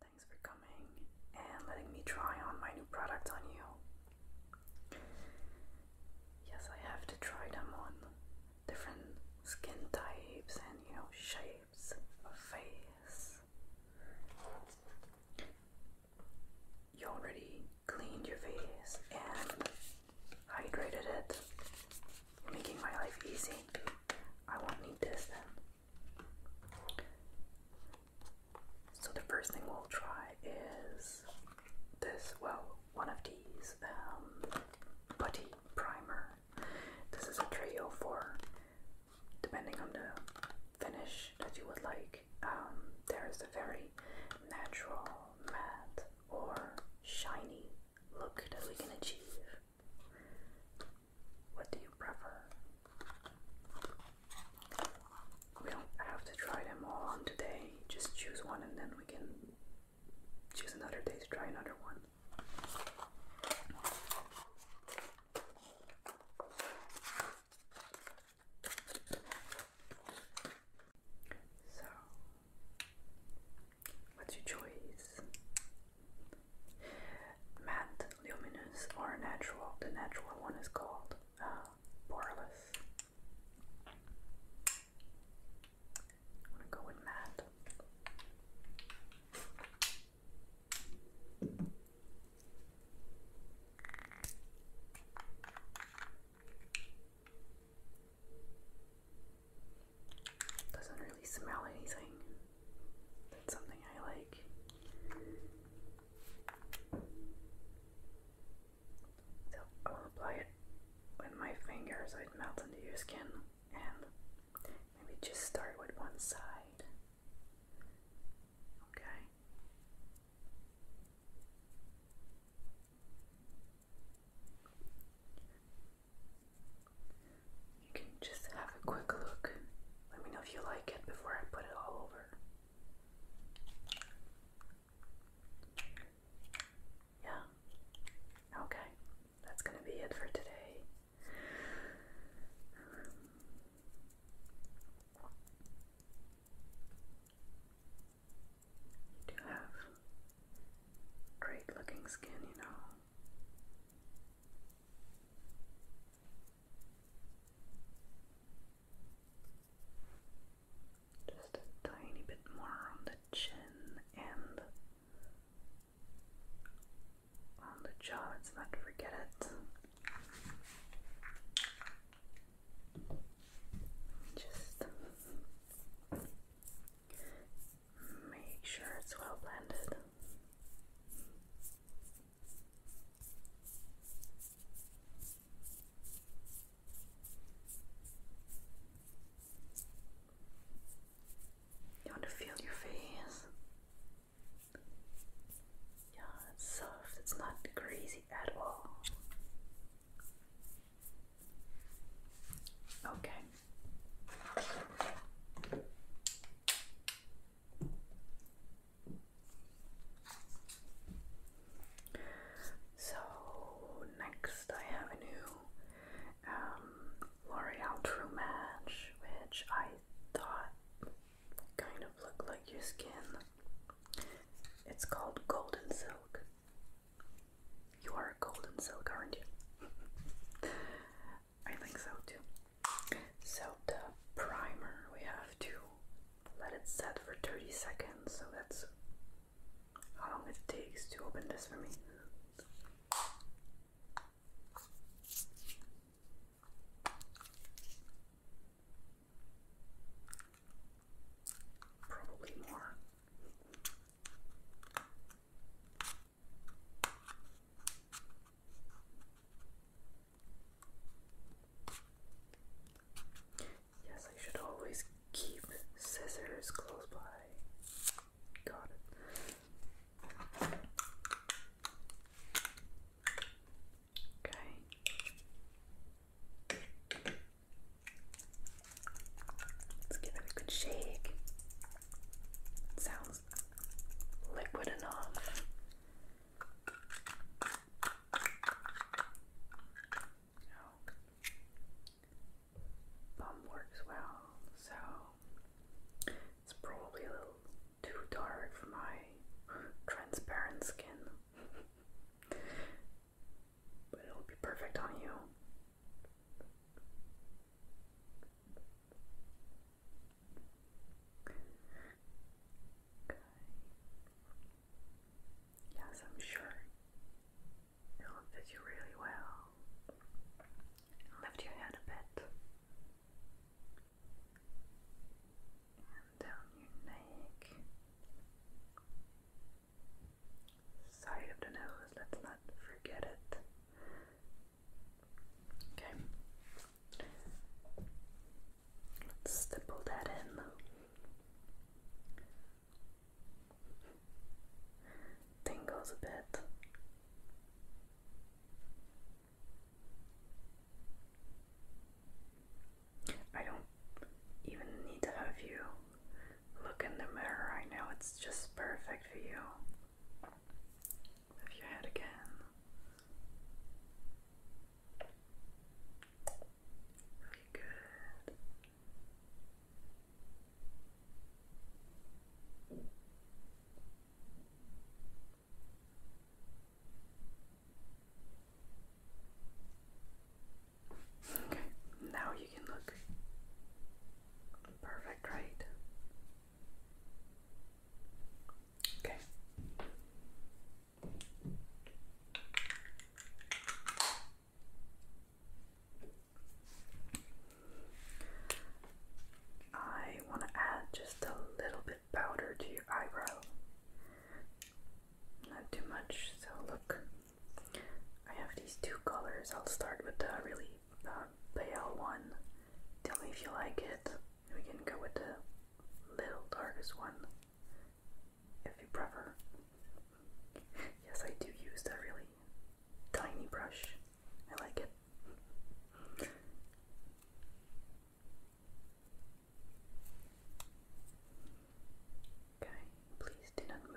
Thanks for coming and letting me try on my new product on you. Yes, I have to try them on different skin types and you know shapes of face. You already cleaned your face and hydrated it. making my life easy. I won't need this then. So the first thing we'll try is this, well, one of these, um, putty primer. This is a trio for, depending on the finish that you would like. Um, there's a very natural matte or shiny look that we can achieve? What do you prefer? We don't have to try them all on today, just choose one and then we can choose another day to try another one. So, What's your choice? Matte, luminous, or natural? The natural one is called poreless. Uh, I'm gonna go with matte. Doesn't really smell anything. That's something I like. So I'll apply it with my finger so it melts into your skin and maybe just start with one side. Okay. You can just have a quick look. Let me know if you like it before I put it all over. Yeah. Okay. That's going to be it for today. You do have great looking skin, you know. Just a tiny bit more on the chin and on the jaw, let's not forget it. Just make sure it's well blended. You want to feel your face? Yeah, it's soft, it's not greasy at all. Okay. So next I have a new um, L'Oreal True Match, which I thought kind of looked like your skin. It's called Golden Silk. You are a golden silk, aren't you? I think so too. So the primer, we have to let it set for 30 seconds. So that's how long it takes to open this for me. Probably more. Yes, I should always keep scissors close by. Got it. Okay. Let's give it a good shake. sounds liquid enough. Oh. Bum works well, so it's probably a little too dark for my transparent skin. but it'll be perfect on you. Yes, I'm sure it'll fit you really well. Lift your head a bit. And down your neck side of the nose, let's not forget it. Okay. Let's stipple that in. Tingles a bit. I don't even need to have you look in the mirror. right now. it's just perfect for you. Move your head again. Okay, good. Okay, now you can look. Perfect, right? Okay. I want to add just a little bit powder to your eyebrow not too much. So look, I have these two colors. I'll start with the really uh, pale one. Tell me if you like it. We can go with the little darkest one if you prefer. yes, I do use the really tiny brush. I like it. Okay, please do not move.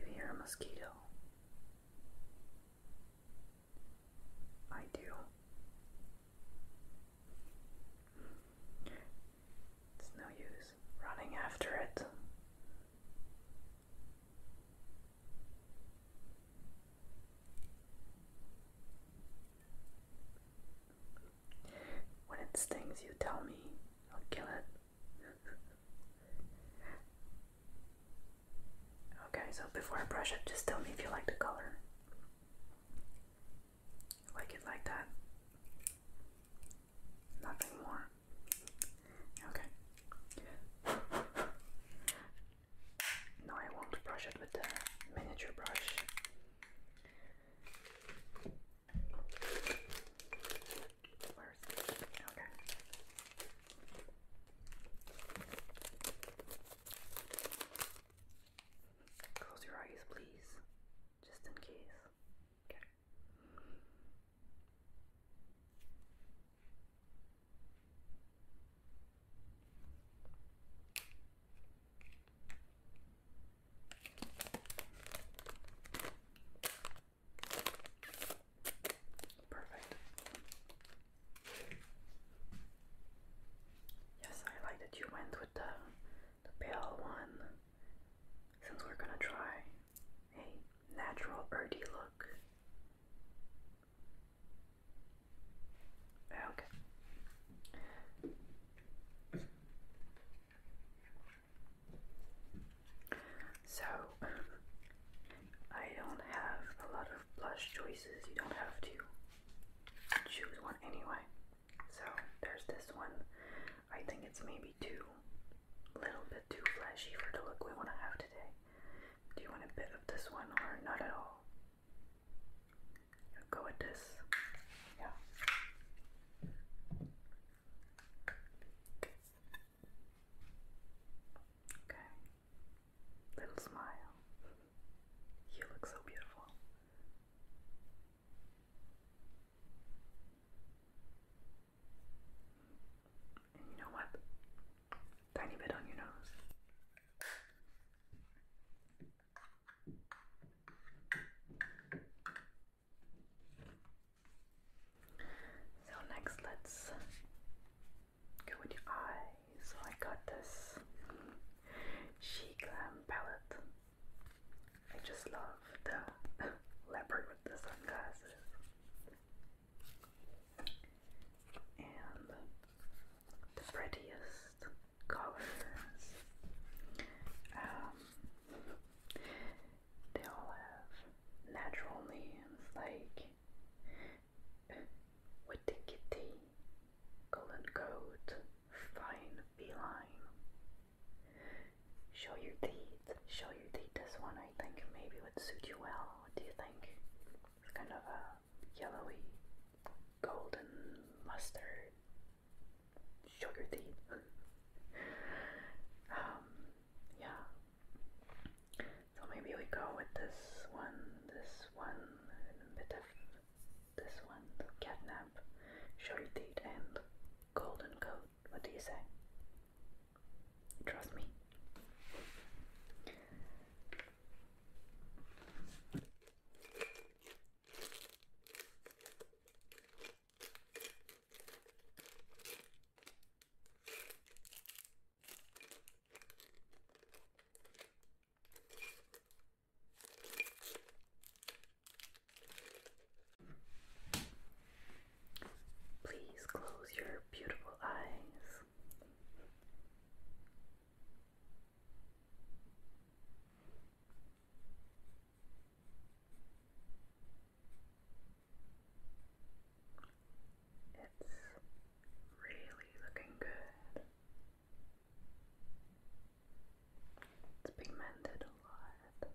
you hear a mosquito? I do. It's no use running after it. When it stings, you tell me, I'll kill it. okay, so before I brush it, just tell me if you like the color. Like it like that. Nothing more. Okay. No, I won't brush it with the miniature brush. Where is Okay. Close your eyes, please, just in case. Okay. Perfect. Yes, I like that you went with the the pale one since we're gonna try a natural earthy look. Okay. So, I don't have a lot of blush choices. You don't have to choose one anyway. So, there's this one. I think it's maybe two little bit too flashy for the look we want to have today. Do you want a bit of this one or not at all? Go with this. Yeah. Okay. Little smile. You look so beautiful. And you know what? Tiny bit on your nose. So next let's go with your eye. I got this She Glam palette. I just love the leopard with the sunglasses and the prettiest colors. Um, they all have natural names like Witty Golden Goat, Fine Beeline. Show your teeth. Show your teeth. This one I think maybe would suit you well. What do you think? It's kind of a yellowy, golden mustard. sugar your teeth. um, yeah. So maybe we go with this one, this one, and a bit of this one, Cat nap. show your teeth, and golden coat. What do you say? Trust me. Please close your beautiful eyes. It's really looking good. It's pigmented a lot.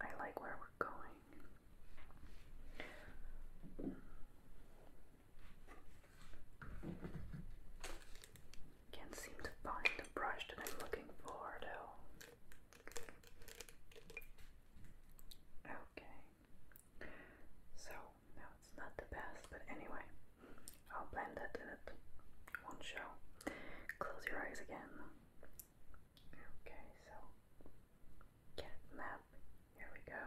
I like where we're going. Can't seem to find the brush that I'm looking for though. Okay. So, no, it's not the best, but anyway. I'll blend it in it. One shell. Close your eyes again. Okay, so catnap. Here we go.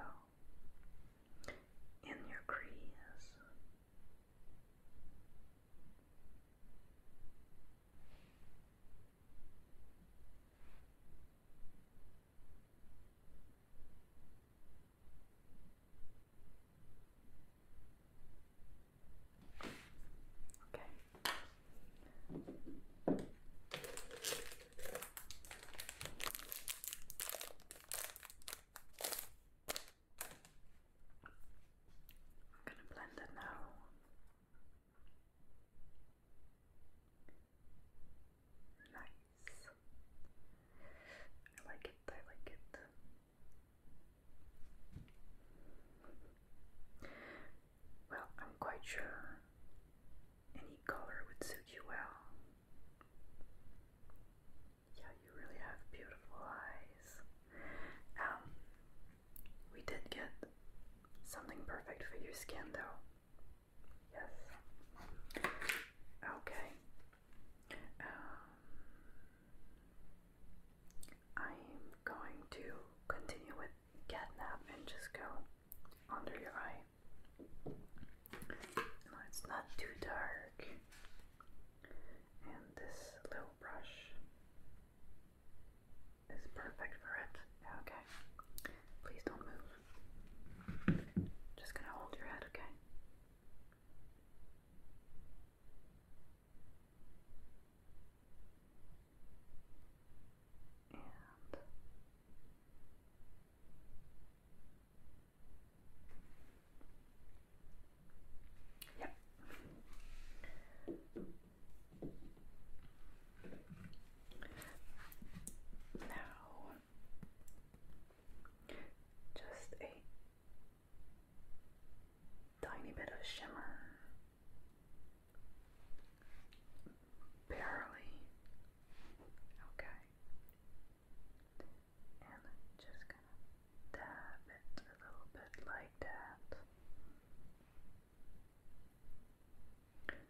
In your crease. Okay. I'm going to blend it now. Nice. I like it, I like it. Well, I'm quite sure any color would suit you well. Yeah, you really have beautiful eyes. Um, we did get something perfect for your skin, though. Yes. Okay. Um, I'm going to continue with catnap and just go under your eye. it's not too dark. And this little brush is perfect for it. Okay. Please don't move. Just gonna hold your head, okay? and yep. Now, just a Tiny bit of shimmer. Barely. Okay. And just gonna dab it a little bit like that. Okay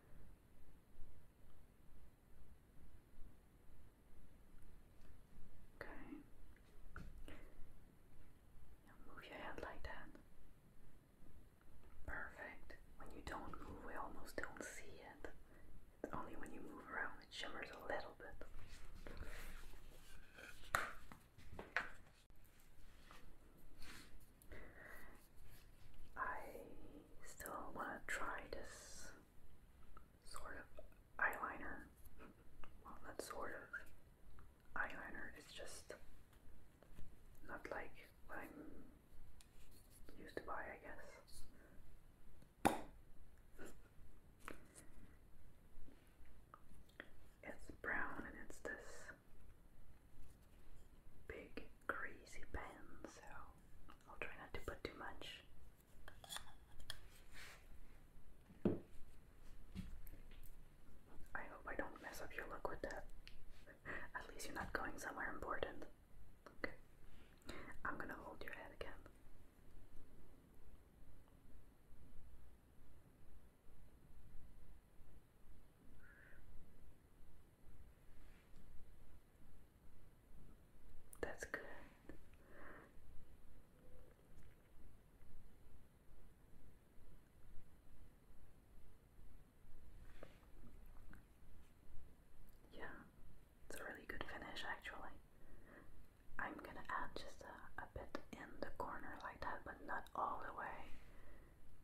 move your head like that. Perfect. When you don't move, we almost don't see it. only when you move around it shimmers a little bit. I still want to try this sort of eyeliner. Well, not sort of eyeliner, it's just not like what I'm used to buy, I guess. It's brown and it's this big, crazy pen, so I'll try not to put too much. I hope I don't mess up your look with that. At least you're not going somewhere important. Okay. I'm gonna hold your head again. That's good. Yeah, it's a really good finish actually. I'm gonna add just a, bit in the corner like that, but not all the way.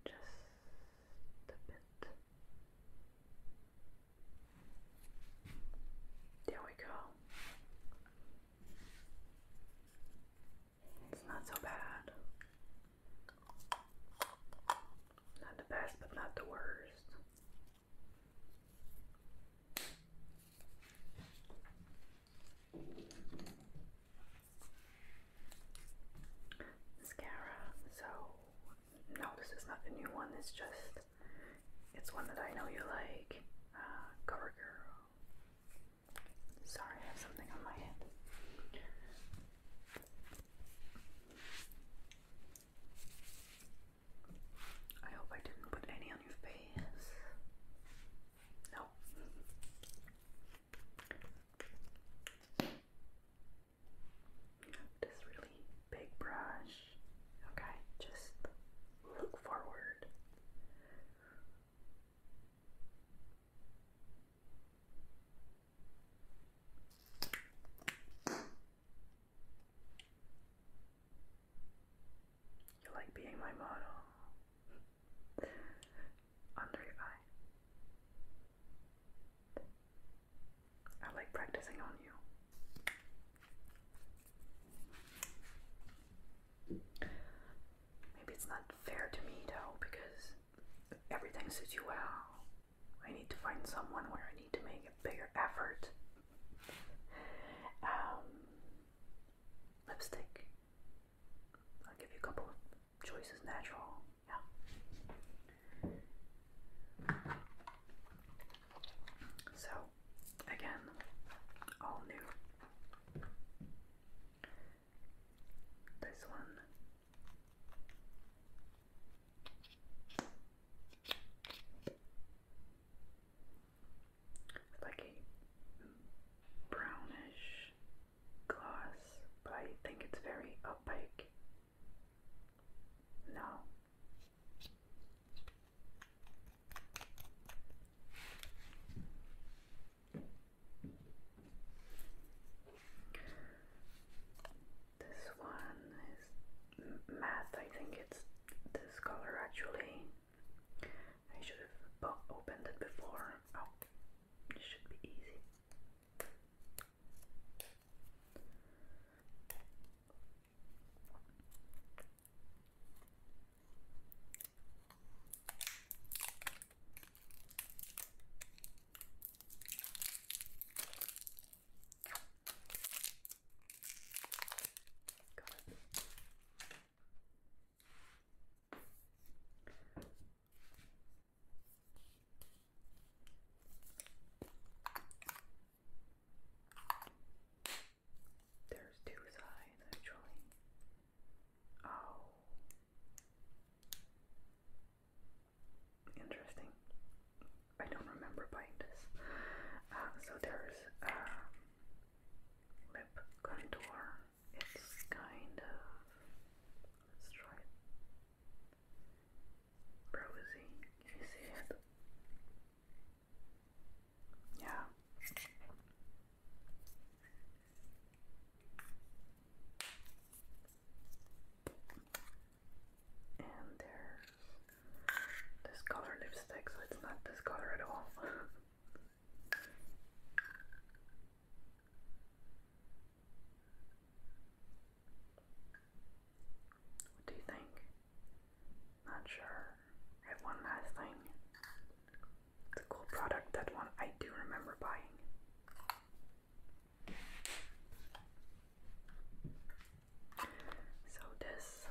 Just a bit. There we go. It's not so bad. Not the best, but not the worst. Mascara. So, no, this is not the new one, it's just it's one that I know you like. Uh, Sorry, I have something on my head. I hope I didn't put any on your face. No. This really big brush. Okay, just look forward. You like being my model under your eye. I like practicing on you. Maybe it's not fair to me though, because everything suits you well. I need to find someone where I need to make a bigger effort. Um, lipstick. I'll give you a couple choices. Natural, yeah. So, again, all new. This one. Like a brownish gloss, but I think it's very opaque. No, this one is math, I think it's this color actually. I should have opened it before. Oh, it should be easy. Got it. There's two sides actually. Oh. Interesting. I don't remember buying this. Uh, so there's um, lip contour. It's kind of. Let's try it. Rosy. Can you see it? Yeah. And there's this color lipstick, so it's not this color at all. what do you think? Not sure. I have one last thing. It's a cool product, that one I do remember buying. So this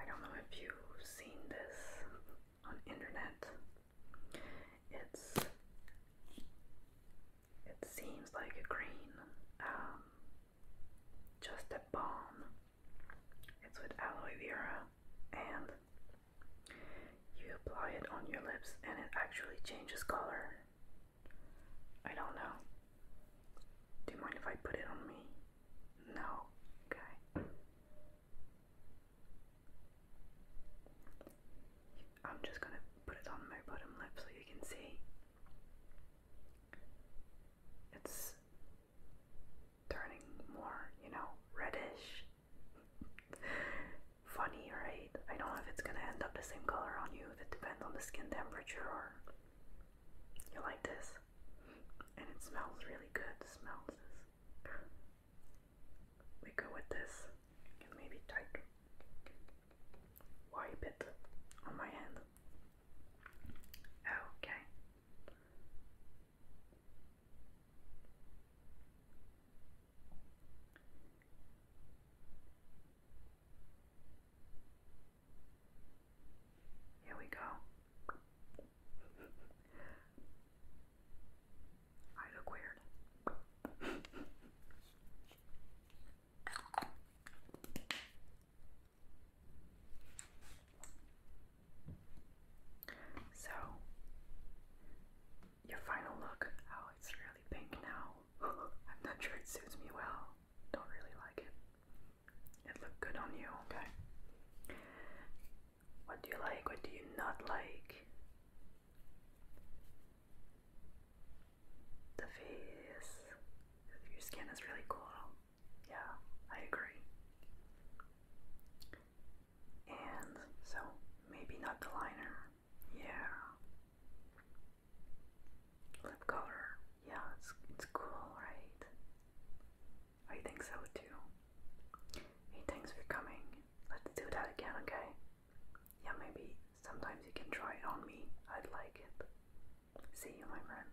I don't know if you've seen this on internet. It's it seems like a green, um, just a balm. It's with aloe vera and you apply it on your lips and it actually changes color. I don't know. Do you mind if I put it on me? No. Okay. I'm just gonna put it on my bottom lip so you can see. It's turning more, you know, reddish. Funny, right? I don't know if it's gonna end up the same color on you, if it depends on the skin temperature or you like this. And it smells really good. It smells We go with this and maybe tight wipe it on my hand. Okay. Here we go. I look weird. so, your final look. Oh, it's really pink now. I'm not sure it suits me well. Don't really like it. It looked good on you, okay? What do you like? What do you not like? The face. Your skin is really cool. Yeah, I agree and so maybe not the liner, yeah. Lip color, yeah, it's it's cool, right? I think so too. Hey, thanks for coming. Let's do that again, okay? Yeah, maybe sometimes you can try it on me. I'd like it. See you, my friend.